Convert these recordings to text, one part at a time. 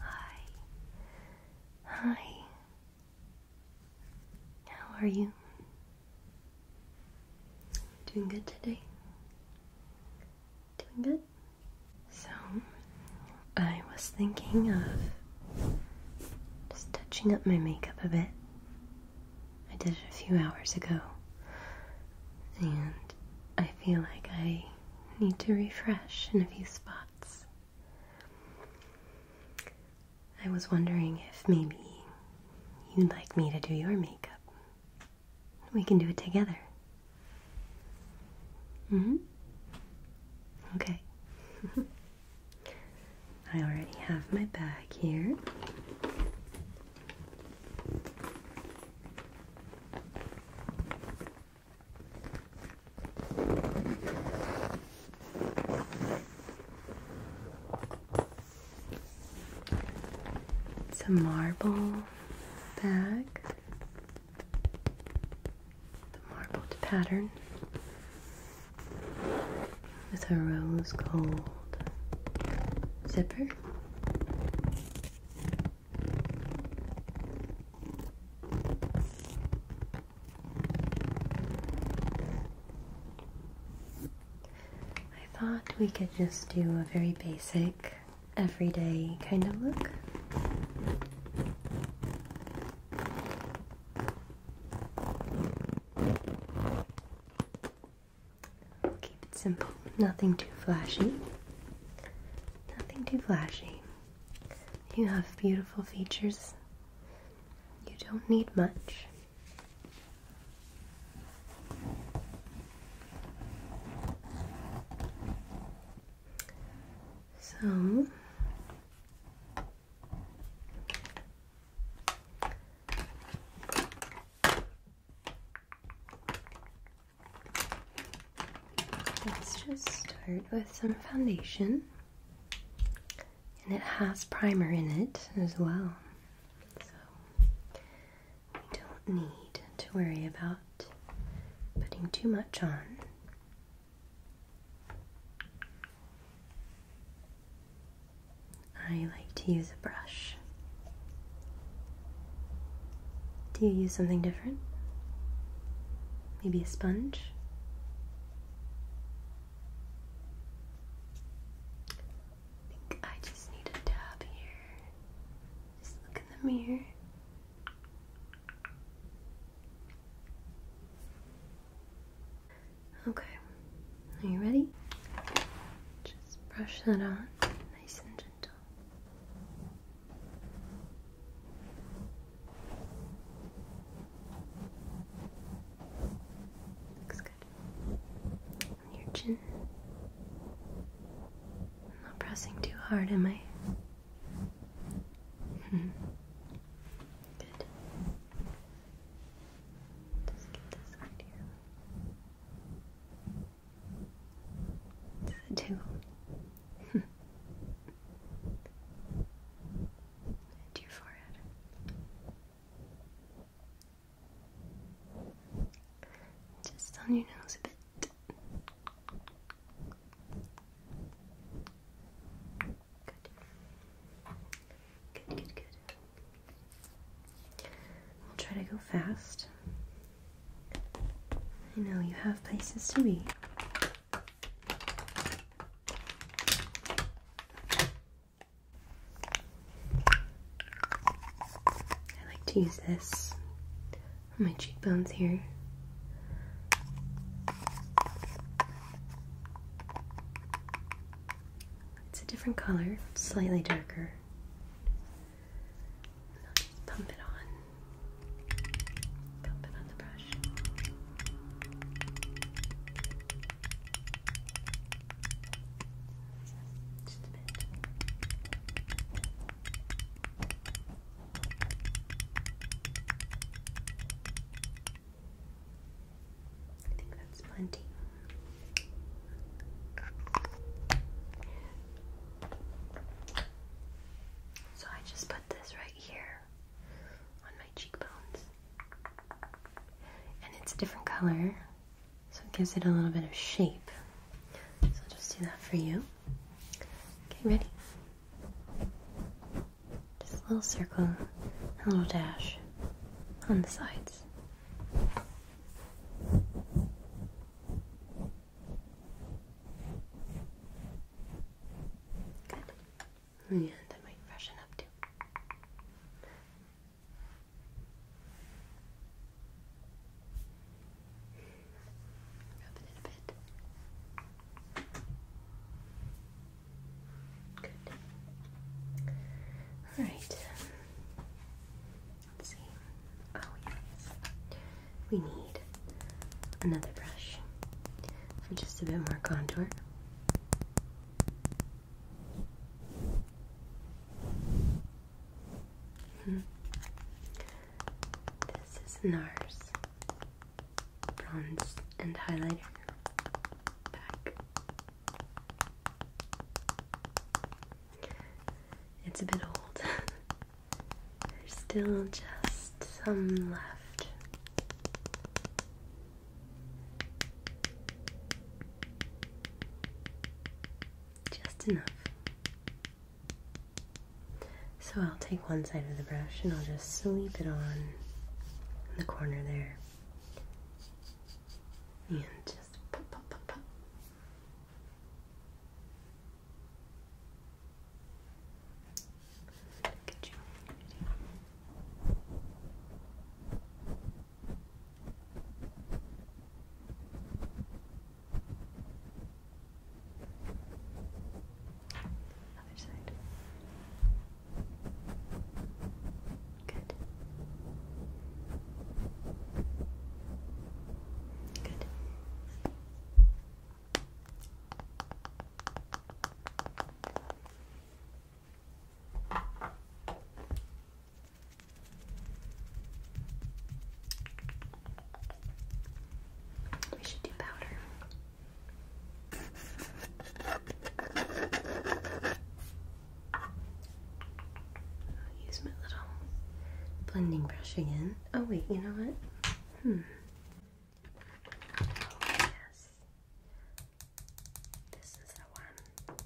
Hi. Hi. How are you? Doing good today? Doing good? So, I was thinking of just touching up my makeup a bit I did it a few hours ago, and I feel like I need to refresh in a few spots. I was wondering if maybe you'd like me to do your makeup. We can do it together. hmm. Okay. I already have my bag here. It's a marble bag, the marbled pattern with a rose gold zipper. I thought we could just do a very basic, everyday kind of look keep it simple. Nothing too flashy. Nothing too flashy. You have beautiful features. You don't need much. So, Let's just start with some foundation. And it has primer in it as well. So we don't need to worry about putting too much on. I like to use a brush. Do you use something different? Maybe a sponge? I just need a dab here. Just look in the mirror. Okay, are you ready? Just brush that on, nice and gentle. Looks good. On your chin. I'm not pressing too hard, am I? good. Just get this side here. It's your forehead. Just on your nose a bit. Good. Good, good, good. I'll try to go fast. I know you have places to be. I like to use this on my cheekbones here. It's a different color, slightly darker. pump it on. Pump it on the brush. Just a bit. I think that's plenty. So I just put this right here on my cheekbones. And it's a different color, so it gives it a little bit of shape. So I'll just do that for you. Okay, ready? Just a little circle, a little dash on the sides. Good. And that might freshen up too. Rub it a bit. Good. All right. Let's see. Oh yes, we need another brush for just a bit more contour. Hmm. This is NARS Bronze and Highlighter Pack. It's a bit old. There's still just some left. Just enough. So I'll take one side of the brush and I'll just sweep it on the corner there and just pop, pop, pop, pop. Get side. Good. Good. We should do powder use my little blending brush again. Oh wait, you know what? Hmm. Oh, yes. This is the one.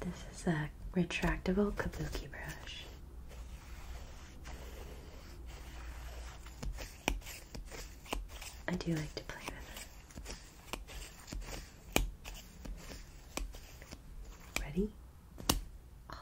This is a retractable kabuki brush. I do like to play with it. Ready? Oh,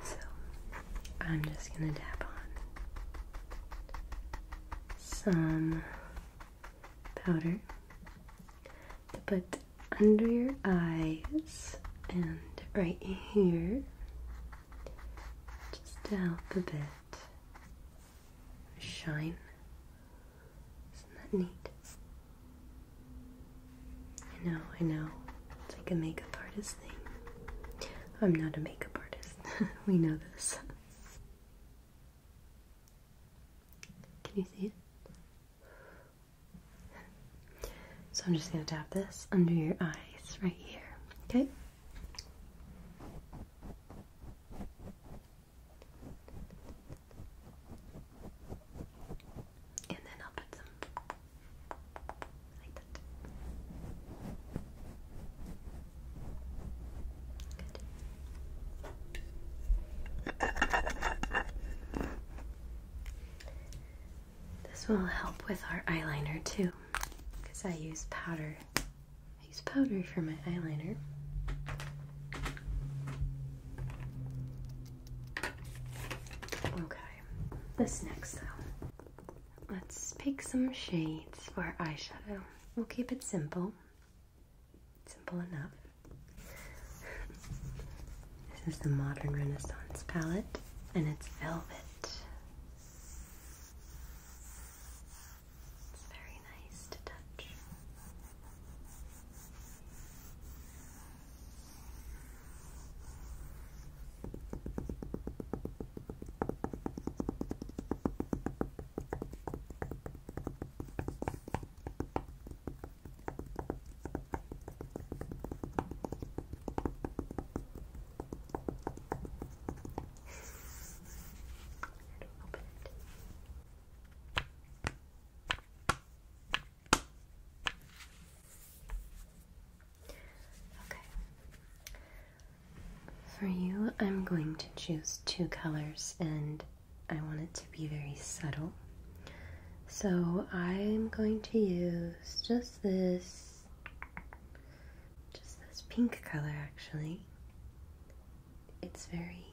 so, I'm just going to dab on some powder to put under your eyes and right here just to help a bit shine. Isn't that neat? I know, I know. It's like a makeup artist thing. I'm not a makeup artist. we know this. Can you see it? So I'm just going to dab this under your eyes right here, okay? And then I'll put some this will help with our eyeliner too, because I use powder. I use powder for my eyeliner. Okay, this next though. Let's pick some shades for our eyeshadow. We'll keep it simple. Simple enough. this is the Modern Renaissance palette, and it's velvet. It's very nice to touch open it. Okay. For you, I'm going to choose two colors and I want it to be very subtle. So I'm going to use just this, just this pink color actually. It's very,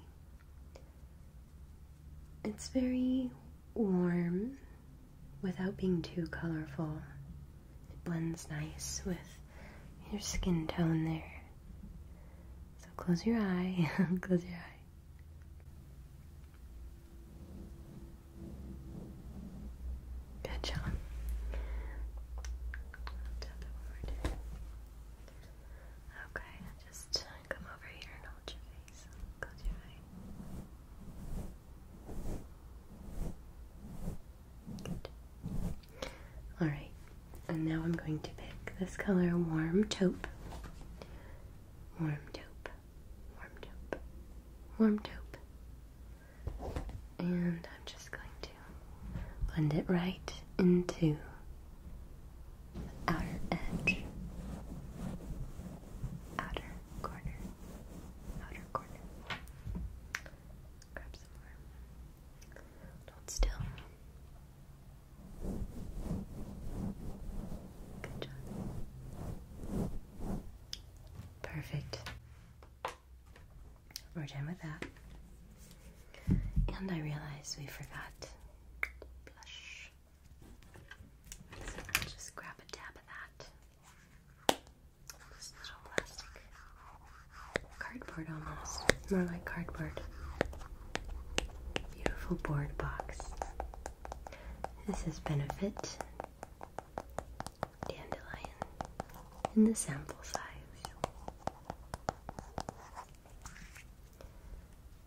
it's very warm without being too colorful. It blends nice with your skin tone there. So close your eye, close your eye. Good job. Okay, just come over here and hold your face. Close your eye. All right, and now I'm going to pick this color, warm taupe. Warm taupe, warm taupe, warm taupe, and I'm just going to blend it right into the outer edge, outer corner, outer corner still. Good job. Perfect. We're done with that. And I realize we forgot blush. just grab a dab of that. This little plastic cardboard almost. More like cardboard. Beautiful board box. This is Benefit Dandelion in the sample size.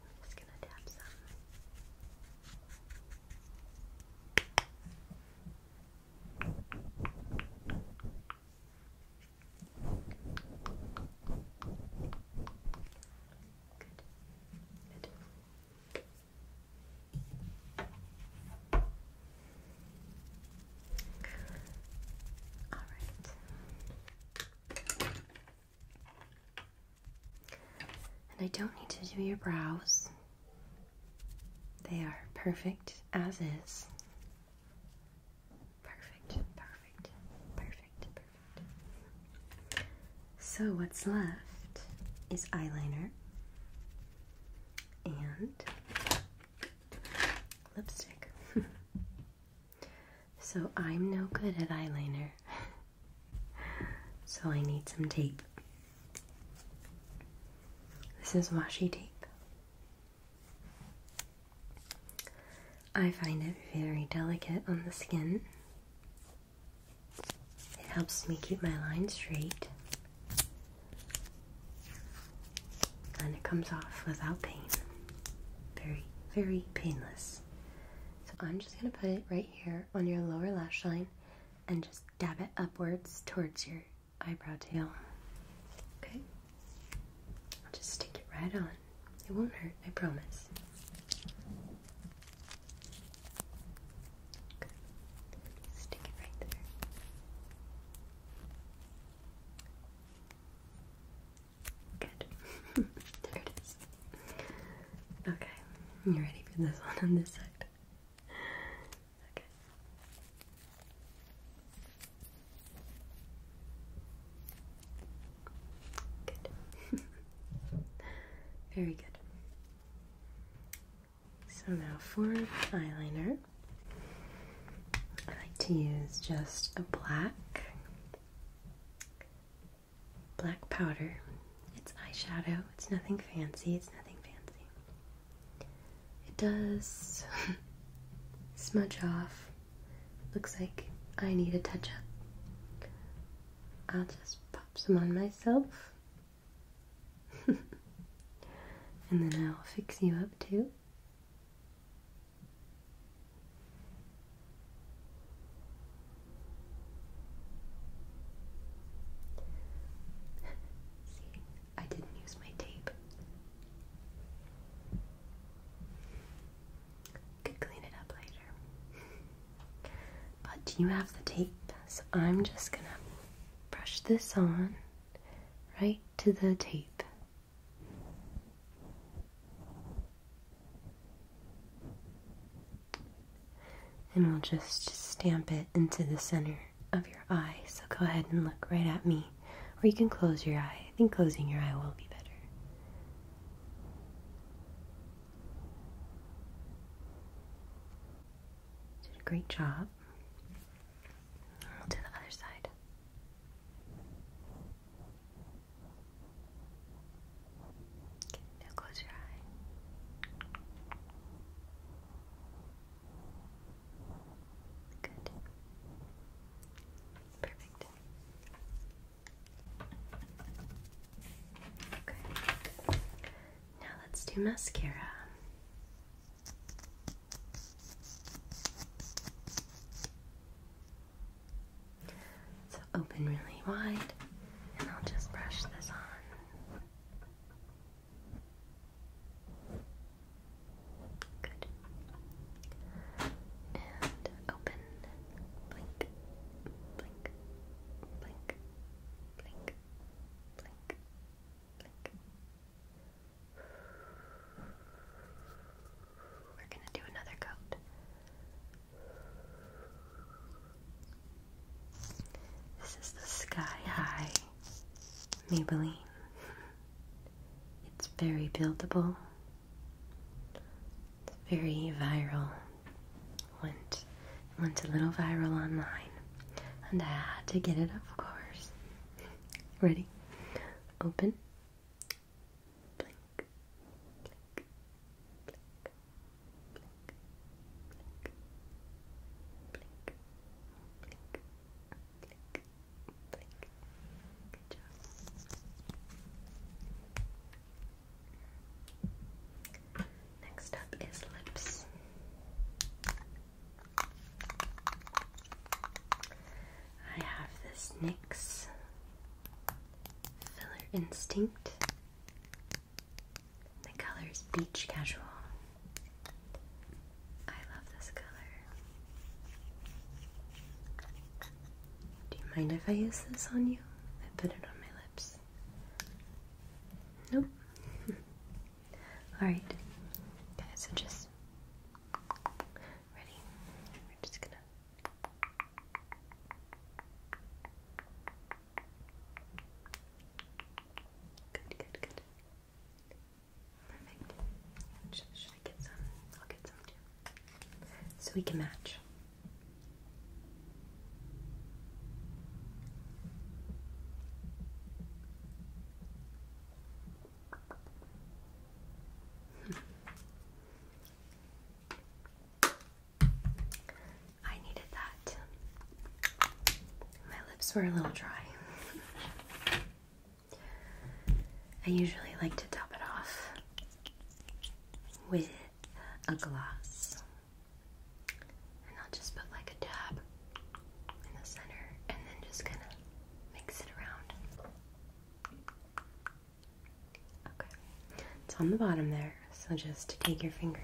I'm just gonna tap some. And I don't need to do your brows. They are perfect as is. Perfect, perfect, perfect, perfect. So, what's left is eyeliner and lipstick. so, I'm no good at eyeliner, so I need some tape. This is washi tape. I find it very delicate on the skin. It helps me keep my line straight and it comes off without pain. Very, very painless. So I'm just going to put it right here on your lower lash line and just Dab it upwards towards your eyebrow tail. Okay? I'll just stick it right on. It won't hurt, I promise. Stick it right there. Good. there it is. Okay. You ready for this one on this side? Okay. Good. Very good. So now for eyeliner, I like to use just a black black powder it's eyeshadow. It's nothing fancy. It's nothing fancy. It does smudge off. Looks like I need a touch up. I'll just pop some on myself. and then I'll fix you up too. See, I didn't use my tape. Could clean it up later. but you have the tape, so I'm just gonna brush this on right to the tape. And we'll just stamp it into the center of your eye. So go ahead and look right at me. Or you can close your eye. I think closing your eye will be better. Did a great job. we the other side. now close your eye. Good. Perfect. Okay. Now let's do mascara. So open really wide, and I'll just brush this on. Good. And open. Blink. Blink. Blink. Blink. Blink. Blink. We're going to do another coat. This is the Sky High Maybelline. It's very buildable. It's very viral. Went went a little viral online. And I had to get it of course. Ready? Open. Next up is lips. I have this NYX Filler Instinct the color is Beach Casual. I love this color. Do you mind if I use this on you? I put it on my lips. Nope. Alright. Okay, so just ready? We're just gonna Good, good, good. Perfect. Should, I get some? I'll get some too. So we can match. I needed that. My lips were a little dry. I usually like to top it off with a gloss. And I'll just put like a dab in the center and then just kind of mix it around. Okay, it's on the bottom there. So just take your finger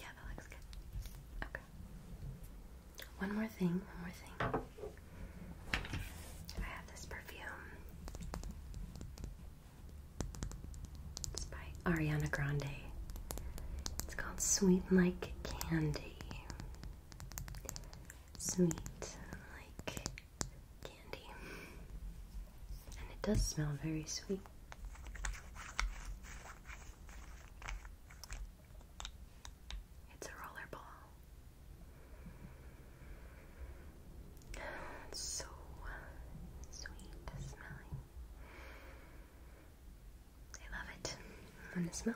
Yeah, that looks good. Okay. One more thing, one more thing. I have this perfume. It's by Ariana Grande. It's called Sweet Like Candy sweet, like candy. And it does smell very sweet. It's a rollerball. so sweet smelling. I love it and the smell.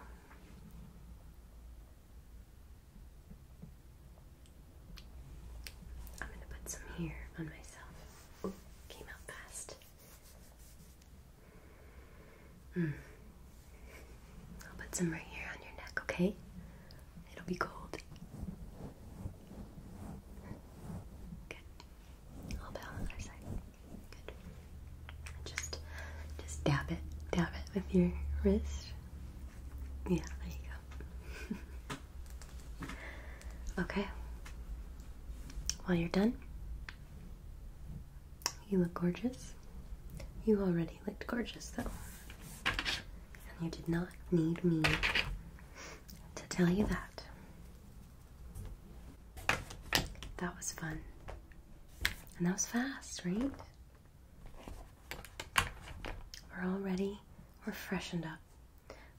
I'm going to put some here on myself. came out fast. Hmm. I'll put some right here on your neck, okay? It'll be cold. Good. I'll put on side. Just, just dab it, dab it with your wrist. Yeah, there you go. okay. While you're done, you look gorgeous. You already looked gorgeous, though. And you did not need me to tell you that. That was fun. And that was fast, right? We're all ready. We're freshened up.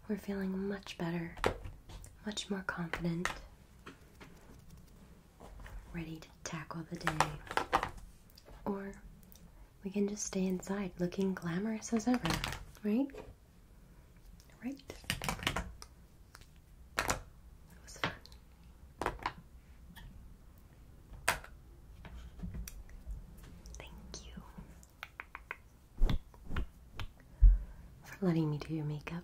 We're feeling much better, much more confident, ready to tackle the day. Or we can just stay inside looking glamorous as ever, right? Right? Thank you for letting me do your makeup.